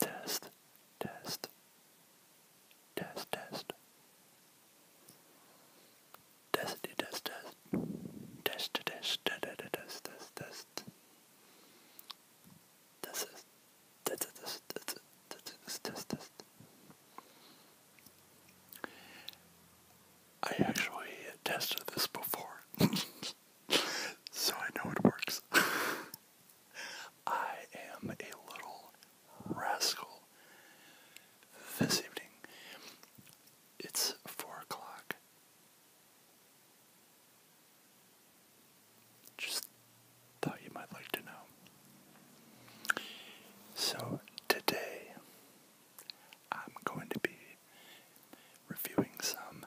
Test, test, test, test. Test, test, test. Test, test, test, test, test, test. Test, test, test, test, test, test, test. I actually tested this before. so I know it works. I am a little rascal. This evening, it's four o'clock. Just thought you might like to know. So, today I'm going to be reviewing some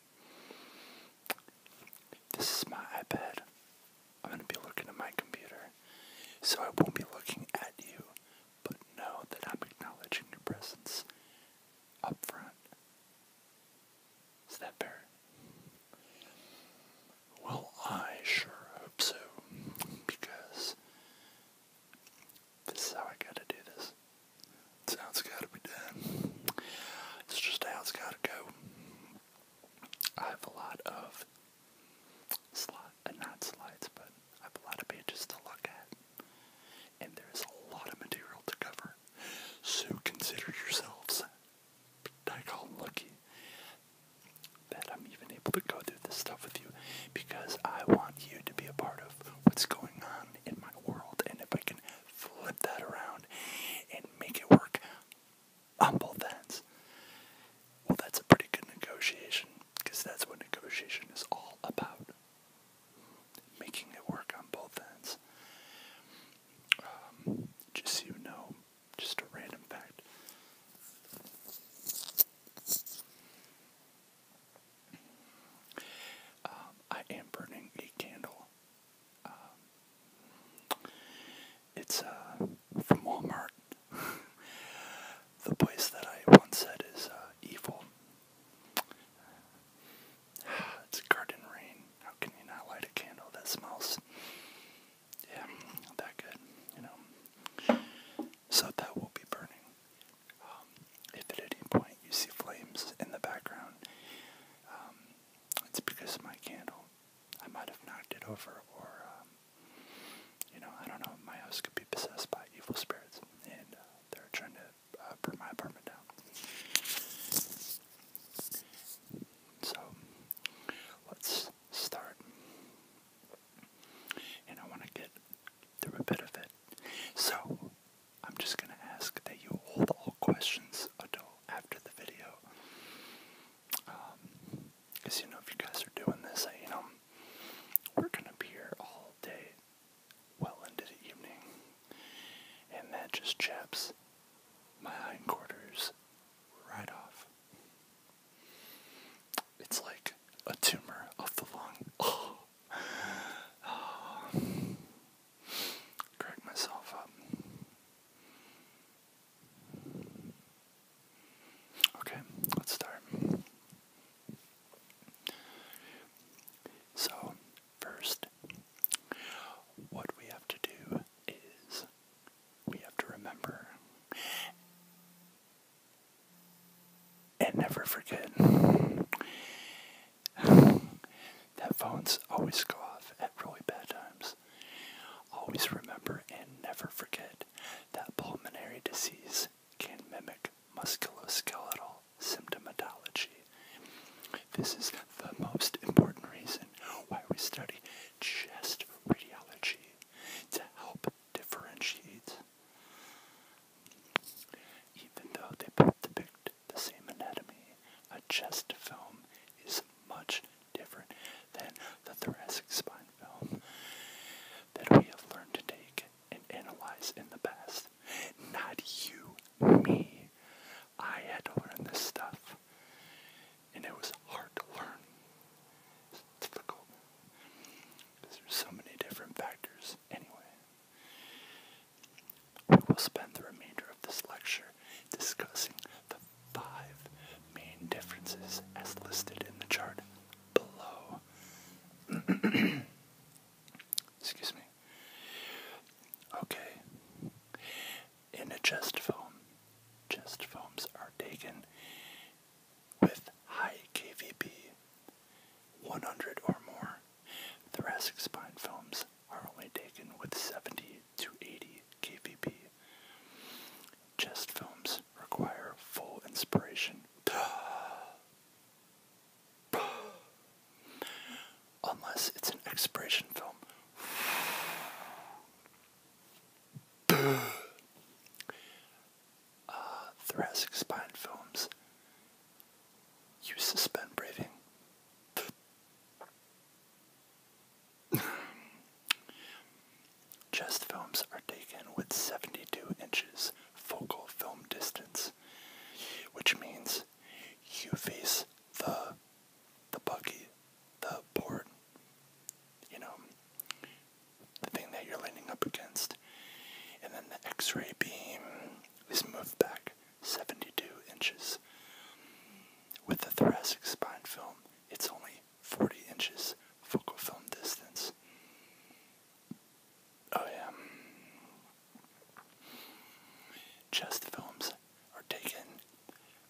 this is my iPad. I'm going to be looking at my computer. So I won't be looking at you, but know that I'm acknowledging your presence up front. Is that Well, I sure hope so, because this is how I gotta do this. It's just how it's got to go. I have a lot of slot, uh, not slides, but I have a lot of pages to look at. And there's a lot of material to cover. So consider yourselves daggone lucky that I'm even able to go through this stuff with you because I want you to be a part of what's going on in my world. And if I can flip that around and make it work on both ends. Well, that's a pretty good negotiation because that's what negotiation is all about making it work on both ends. Um, just so you know, just a random fact. Um, I am burning a candle um, it's uh, from Walmart. the place that I once said is uh, evil. It's garden rain. How can you not light a candle that smells? Yeah, that good, you know. So that will be burning. Um, if at any point you see flames in the background, um, it's because my candle. I might have knocked it over, or, um, you know, I don't know. My house could be possessed by evil spirits, and uh, they're trying to uh, burn my apartment down. So, let's start. And I want to get through a bit of it. So, I'm just going to ask that you hold all questions until after the video. Because, um, you know, if you guys are doing this, I, you know, we're going to be here all day, well into the evening. And that just chaps my hindquarters right off. It's like a tumor of the lung. Oh crack myself up. Okay, let's start. So, first, what we have to do is we have to remember and never forget that phones always go off at really bad times. Always remember and never forget that pulmonary disease can mimic musculoskeletal symptomatology. This is the most important reason why we study chest radiology to help differentiate. Even though they both depict the same anatomy. A chest film is much different than the thoracic spine film that we have learned to take and analyze in the past. Not you, me. I had to learn this stuff, and it was hard to learn. It's difficult because there's so many different factors. Anyway, we will spend the remainder of this lecture discussing the five main differences as listed in the chart below. Excuse me. Okay. In a chest film, chest films are taken with high KVP, 100 or more. Thoracic spine films are only taken with 70 to 80 kVp. Chest films require full inspiration. Unless it's an expiration film. Uh, thoracic spine films. You suspend breathing. Chest films are taken with 72 inches focal film distance, which means you face the the buggy, the port. you know, the thing that you're leaning up against, and then the X-ray beam is moved back 72 inches. With the thoracic spine film, it's only 40 inches focal film distance. Oh, yeah. Chest films are taken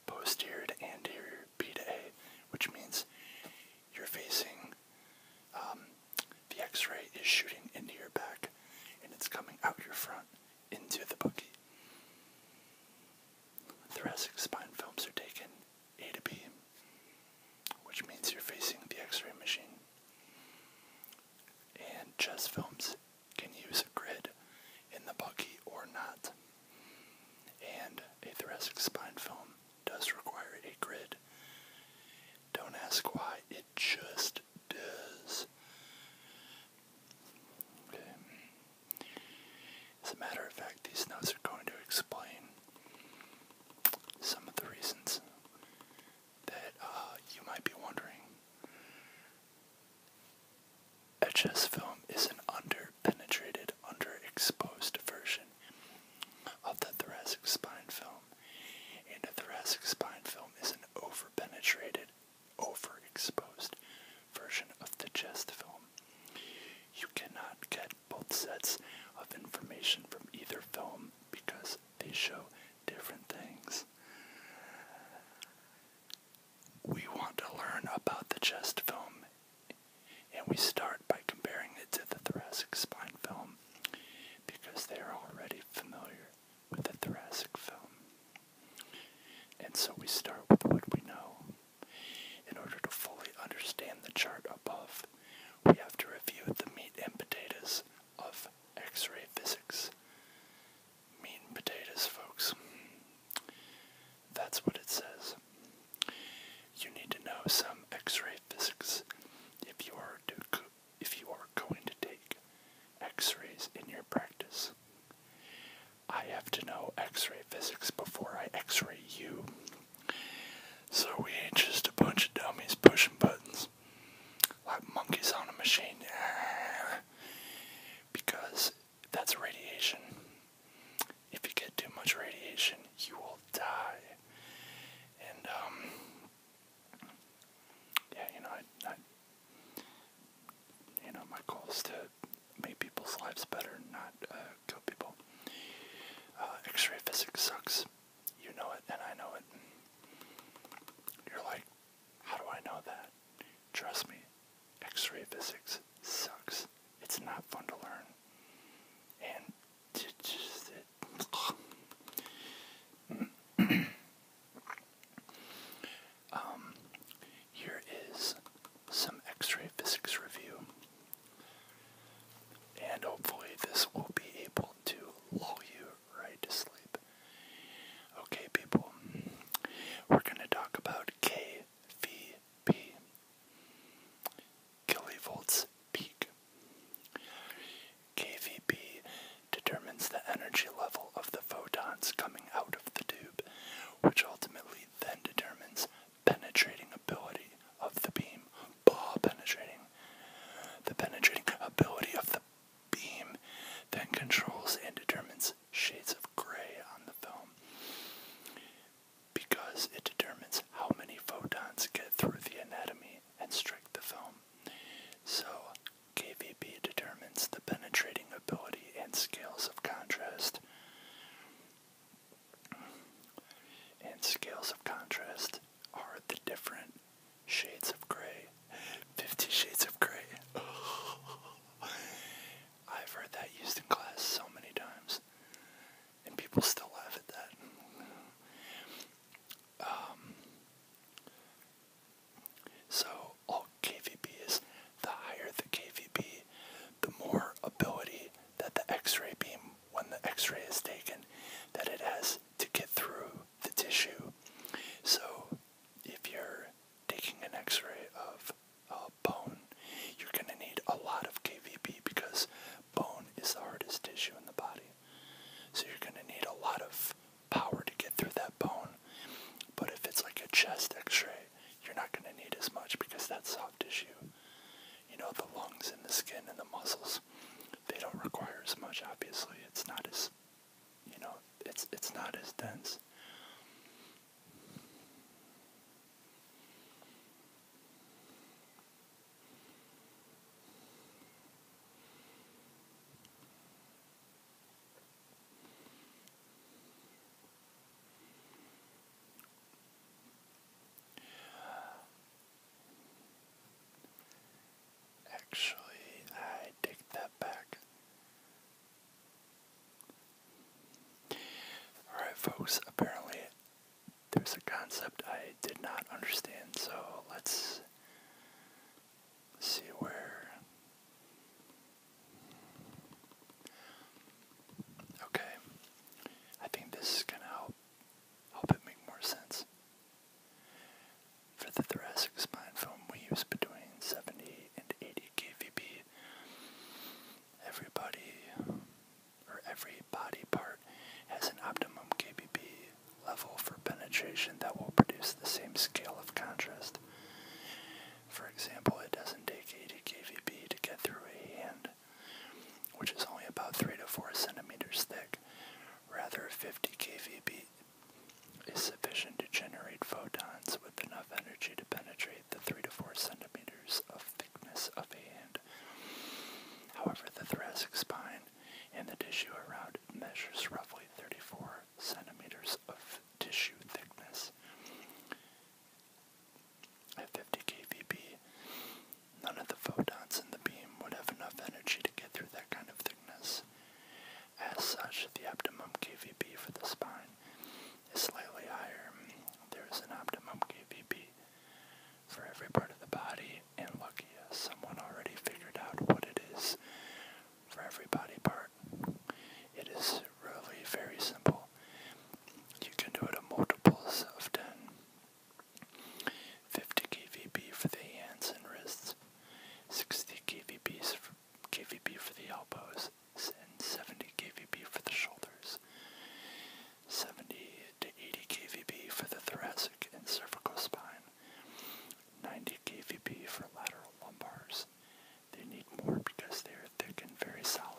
posterior to anterior P to A, which means you're facing um, the x ray is shooting into your back and it's coming out your front into the bookie. Thoracic spine films are taken A to B, which means you're facing the x ray machine. And chest films can use a grid in the buggy or not. And a thoracic spine film does require a grid. Don't ask why, it just does. As a matter of fact, these notes are going to explain some of the reasons that uh, you might be wondering. A chest film is an under-penetrated, under-exposed version of the thoracic spine film, and a thoracic spine film is an over-penetrated, overexposed version of the chest film. You cannot get both sets of information from either film because they show different things. We want to learn about the chest film, and we start by comparing it to the thoracic spine film because they are already familiar with a Thoracic film. And so we start with what we know. In order to fully understand the chart above, we have to review the meat and potatoes of X-ray physics. Meat and potatoes, folks. That's what it says. You need to know some X-ray physics if you are if you are going to take X-rays in your practice. I have to know x ray physics before I x ray you. So we ain't just a bunch of dummies pushing buttons like monkeys on a machine. Because that's radiation. If you get too much radiation, you will die. And, um, yeah, you know, you know, my goal is to make people's lives better, not uh, kill people. Uh, X-ray physics sucks. You know it, and I know it. You're like, how do I know that? Trust me, X-ray physics sucks. It's not fun to learn, and Um, here is some X-ray physics review, and hopefully this will be able to lull you right to sleep. Okay, people, we're gonna talk about KVP, kilovolts peak. KVP determines the energy level of the photons coming out of the tube which ultimately then determines penetrating ability of the beam. Ball penetrating. The penetrating ability of the beam then controls and determines shades of gray on the film because it determines how many photons get through the anatomy and strike the film. So KVP determines the penetrating ability and scales of contrast. And scales of contrast are the different shades of gray. Fifty Shades of Gray. I've heard that used in class so many times, and people still laugh at that. Um, so all is the higher the kVp, the more ability that the X-ray beam, when the X-ray is taken, that it has to get through the tissue. So if you're taking an X-ray of a bone, you're going to need a lot of kVp because bone is the hardest tissue in the body. So you're going to need a lot of power to get through that bone. But if it's like a chest x-ray, you're not going to need as much because that soft tissue. You know, the lungs and the skin and the muscles, they don't require as much, obviously. It's not as, you know, it's, it's not as dense. Actually, I take that back. Alright, folks, apparently there's a concept I did not understand, so let's see where Okay. I think this is gonna help help it make more sense. For the thoracic spine film we use between 70 and 80 KVB. Everybody or every body part has an optimum kVp level for penetration that will produce the same scale of contrast. For example, it doesn't take 80 kVb to get through a hand, which is only about 3 to 4 centimeters thick. Rather, 50 kVb is sufficient to generate photons with enough energy to penetrate the 3 to 4 centimeters of thickness of a hand. However, the thoracic spine and the tissue around it measures roughly 34 centimeters of tissue thickness. At 50 kVp, none of the photons in the beam would have enough energy to get through that kind of thickness. As such, the optimum kVp for the spine is slightly higher. There is an optimum kVp for every part of the body, and lucky as uh, someone already figured out what it is for every body part. It is really very simple. You can do it in multiples of 10. 50 kVp for the hands and wrists, 60 kVp for, KVP for the elbows, 70 kVp for the shoulders, 70 to 80 kVp for the thoracic and cervical spine, 90 kVp for lateral lumbars, they need more because they are thick and very solid.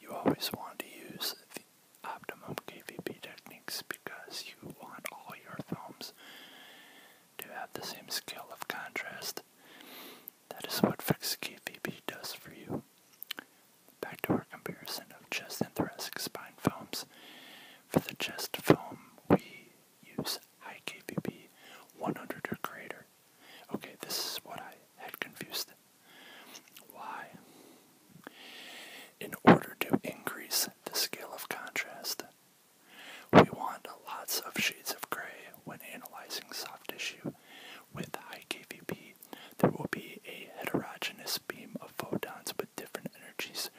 you always want to use the optimum KVP techniques because you want all your films to have the same scale of contrast. That is what fixed KVP does for you. Back to our comparison of chest and thoracic spine films. For the chest film, we use high 100 or greater. Okay, this is what I had confused. Why? In order to increase the scale of contrast, we want lots of shades of gray when analyzing soft tissue. With high KVP, there will be a heterogeneous beam of photons with different energies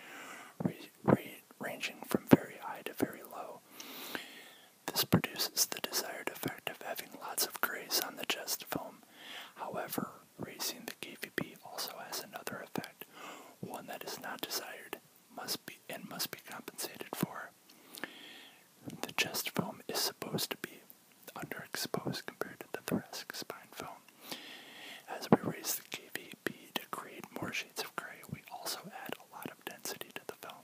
ranging from very high to very low. This produces the desired effect of having lots of grays on the chest foam. However, raising the KVP also has another effect, one that is not desired must be and must be compensated for. The chest foam is supposed to be underexposed compared to the thoracic spine foam. As we raise the KVP to create more shades of gray, we also add a lot of density to the film.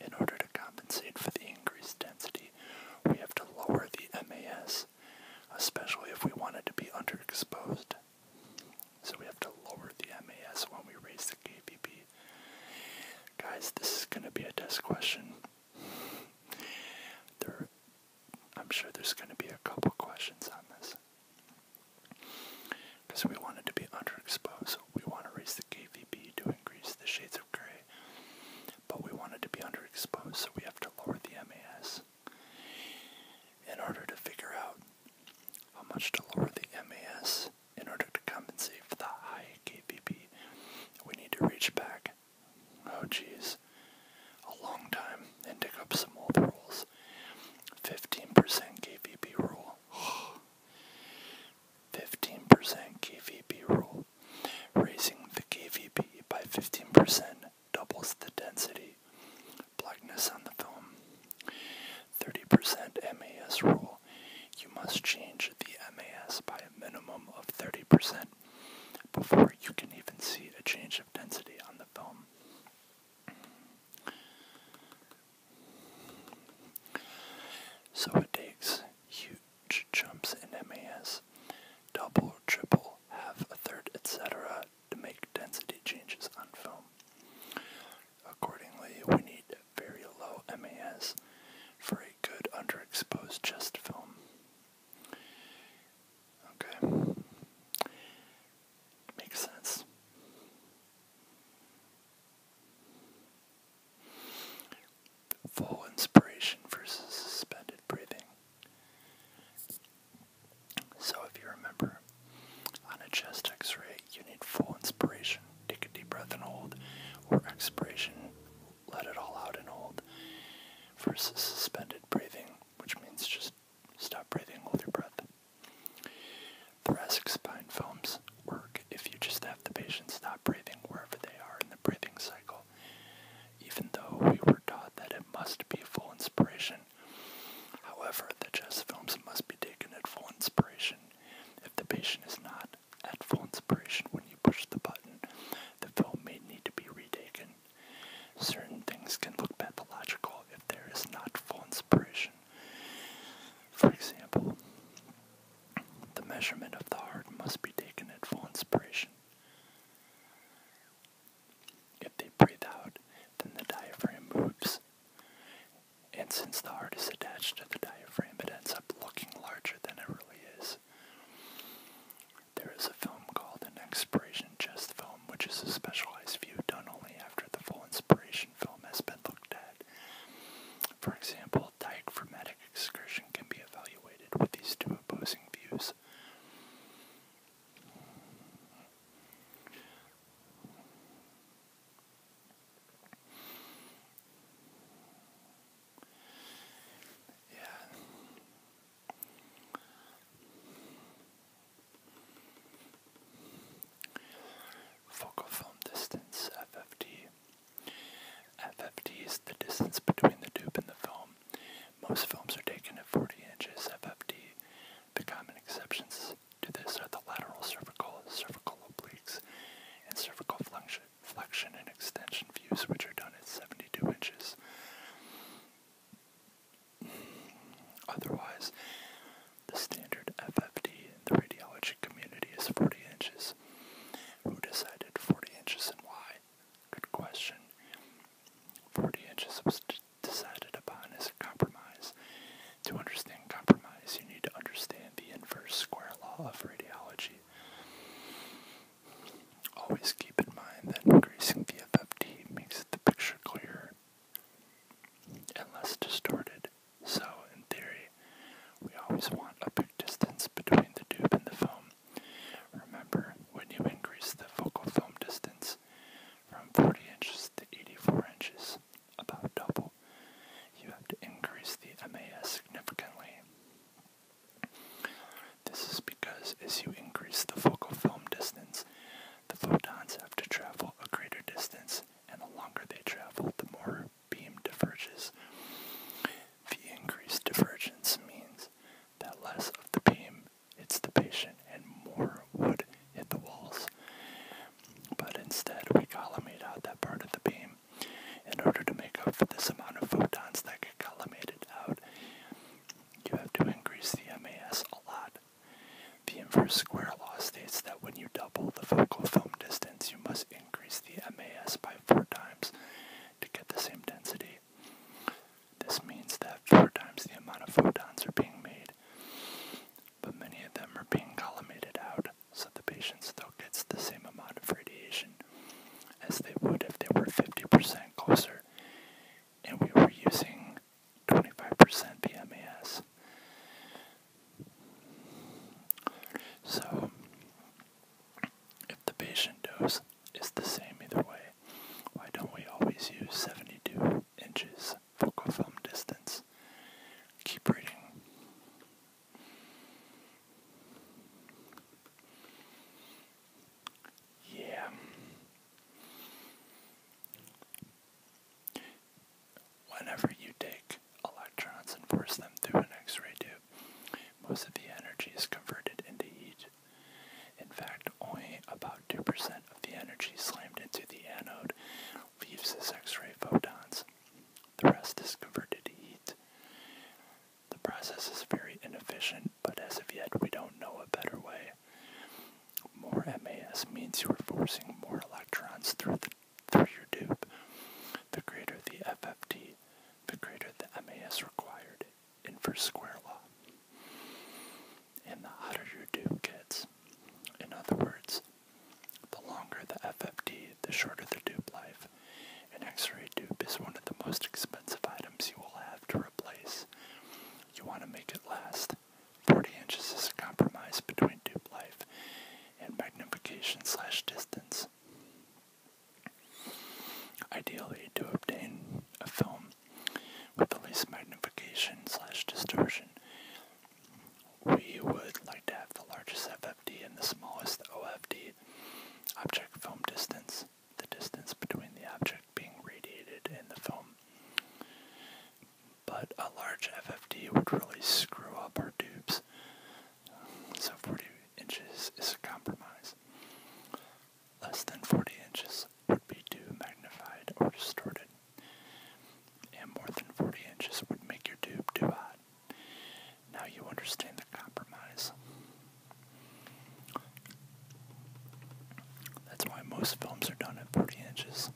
In order to compensate for the increased density, we have to lower the MAS, especially if we want it to be underexposed. So we have to lower the MAS when we raise the KVP. Guys, this is going to be a test question. There I'm sure there's going to be a couple questions on this. Because we wanted to be underexposed, so we want to raise the KVP to increase the shades of gray. But we wanted to be underexposed, so we have to lower the MAS. In order to figure out how much to lower the MAS in order to compensate for the high KVP, we need to reach back oh jeez, a long time, and dig up some old rules. 15% KVP rule. 15% KVP rule. Raising the KVP by 15% doubles the density, blackness on the film. 30% MAS rule. You must change the MAS by a minimum of 30% before you can even see a change of density on the film. So it takes huge jumps in MAS, double or triple, half, a third, etc., to make density changes on film. Accordingly, we need very low MAS for a good underexposed chest film. Okay. Makes sense. Full inspiration versus suspended breathing. So, if you remember, on a chest x ray, you need full inspiration. Take a deep breath and hold, or expiration, let it all out and hold, versus suspended breathing, which means just Stop breathing, hold your breath. Thoracic spine films work if you just have the patient stop breathing wherever they are in the breathing cycle. Even though we were taught that it must be full inspiration, however, the chest films must be taken at full inspiration. If the patient is not at full inspiration when you push the button, the film may need to be retaken. Certain things can look pathological if there is not full inspiration. For example, the measurement of the heart must be taken at full inspiration. If they breathe out, then the diaphragm moves. And since the heart is attached to the diaphragm, it ends up looking larger than it really is. There is a film called an expiration chest film, which is a specialized view done only after the full inspiration film has been looked at. For example, dichromatic excursion can be evaluated with these two opposing views. Yeah. Focal film distance, FFD. FFD is the distance between the tube and the film. Most films are taken at 40 inches FFD. The common exceptions to this are the lateral cervical, cervical obliques, and cervical flexion, flexion and extension views, which are done at 72 inches. Otherwise, the standard FFD in the radiology community is 40 inches. Who decided 40 inches and why? Good question. 40 inches was decided upon as a compromise. To understand compromise, you need to understand the inverse square law of radiology. Always keep in mind that increasing the FFT makes the picture clear and less distorted. So, in theory, we always want a big distance between the tube and the film. Remember, when you increase the focal film distance from 40 inches to 84 inches, about double, you have to increase the MAS significantly. This is because as you increase the focal film distance, the photons have to travel a greater distance, and the longer they travel, the more beam diverges. The increased divergence means that less of the beam hits the patient and more would hit the walls. But instead, we collimate out that part of the beam. In order to make up for this amount of photons that get collimated out, you have to increase the MAS a lot. The inverse square law states that when you double the focal film distance, you must increase the MAS by four times to get the same density. This means that four times the amount of photons are being made, but many of them are being collimated out, so the patient still gets the same amount of radiation as they would if they were 50% closer and we were using 25% PMAS. So, if the patient dose is the same either way, why don't we always use 72 inches focal film distance? Keep reading. Yeah, Whenever you take electrons and force them through an X-ray tube, most of the energy is converted into heat. In fact, only about 2% of the energy slammed into the anode leaves as X-ray photons. The rest is converted to heat. The process is very inefficient, but as of yet we don't know a better way. More MAS means you are forcing more electrons through, the, through your dupe. The greater the FFT, the greater the MAS required, inverse square law. And the hotter your dupe gets. In other words, the longer the FFT, the shorter the dupe life. An X-ray dupe is one of the most expensive items you will have to replace. You want to make it last. 40 inches is a compromise between tube life and magnification slash distance. Ideally, to obtain a film with the least magnification slash distortion, we would like to have the largest FFD and the smallest OFD, object film distance, the distance between the object being radiated in the film. But a large FFD would really screw up our tubes. So 40 inches is a compromise. Less than 40 inches would be too magnified or distorted. And more than 40 inches would make your tube too hot. Now you understand the compromise. That's why most films are done at 40 inches.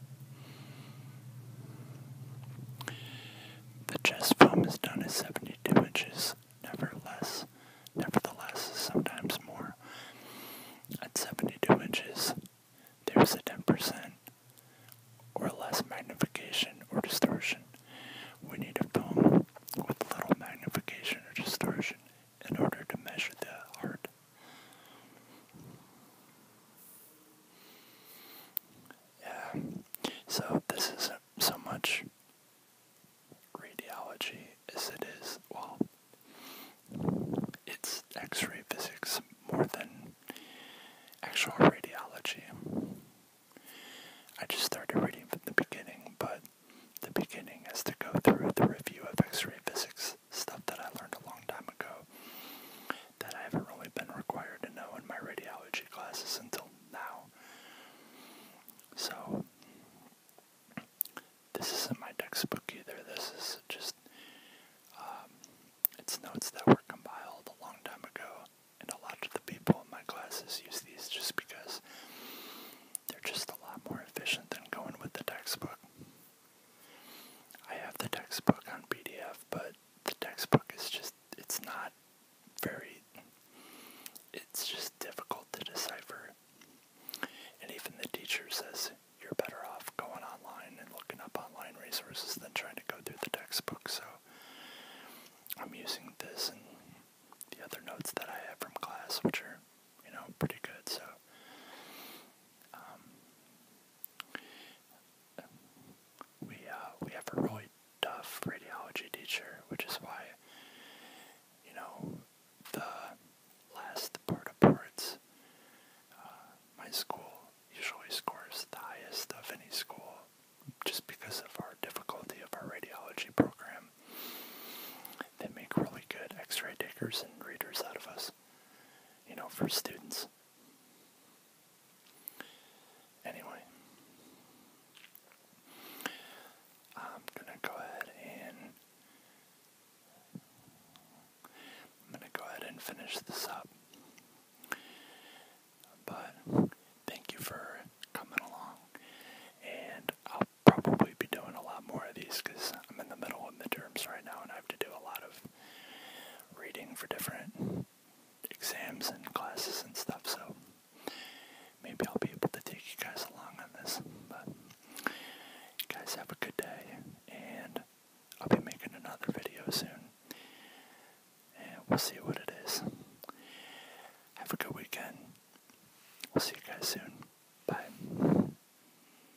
The chess film is done at 72 inches, never nevertheless, sometimes more. At 72 inches, there's a 10% or less magnification or distortion. We need a film with little magnification or distortion in order to measure the heart. Yeah, so this isn't so much radiology as it is, well, it's x ray physics more than actual radiology. I just started reading from the beginning, but the beginning has to go through the review of x ray physics stuff that I learned a long time ago that I haven't really been required to know in my radiology classes until now. So, this isn't my textbook either. This is just, um, it's notes that were compiled a long time ago, and a lot of the people in my classes use these just because they're just a lot more efficient than going with the textbook. I have the textbook on PDF, but the textbook is just, it's not very, it's just difficult to decipher. And even the teacher says you're better off going online and looking up online resources than trying to go through the textbook. So I'm using this and the other notes that I have from class, which are you know, pretty good. So, um, we uh, we have a really tough radiology teacher, which is why, you know, the last part of boards, uh, my school usually scores the highest of any school, just because of our difficulty of our radiology program. They make really good X-ray takers and readers out of us you know, for students. Anyway, I'm gonna go ahead and I'm gonna go ahead and finish this up. But thank you for coming along, and I'll probably be doing a lot more of these because I'm in the middle of midterms right now, and I have to do a lot of reading for different exams and classes and stuff, so maybe I'll be able to take you guys along on this. But you guys have a good day, and I'll be making another video soon, and we'll see what it is. Have a good weekend. We'll see you guys soon. Bye.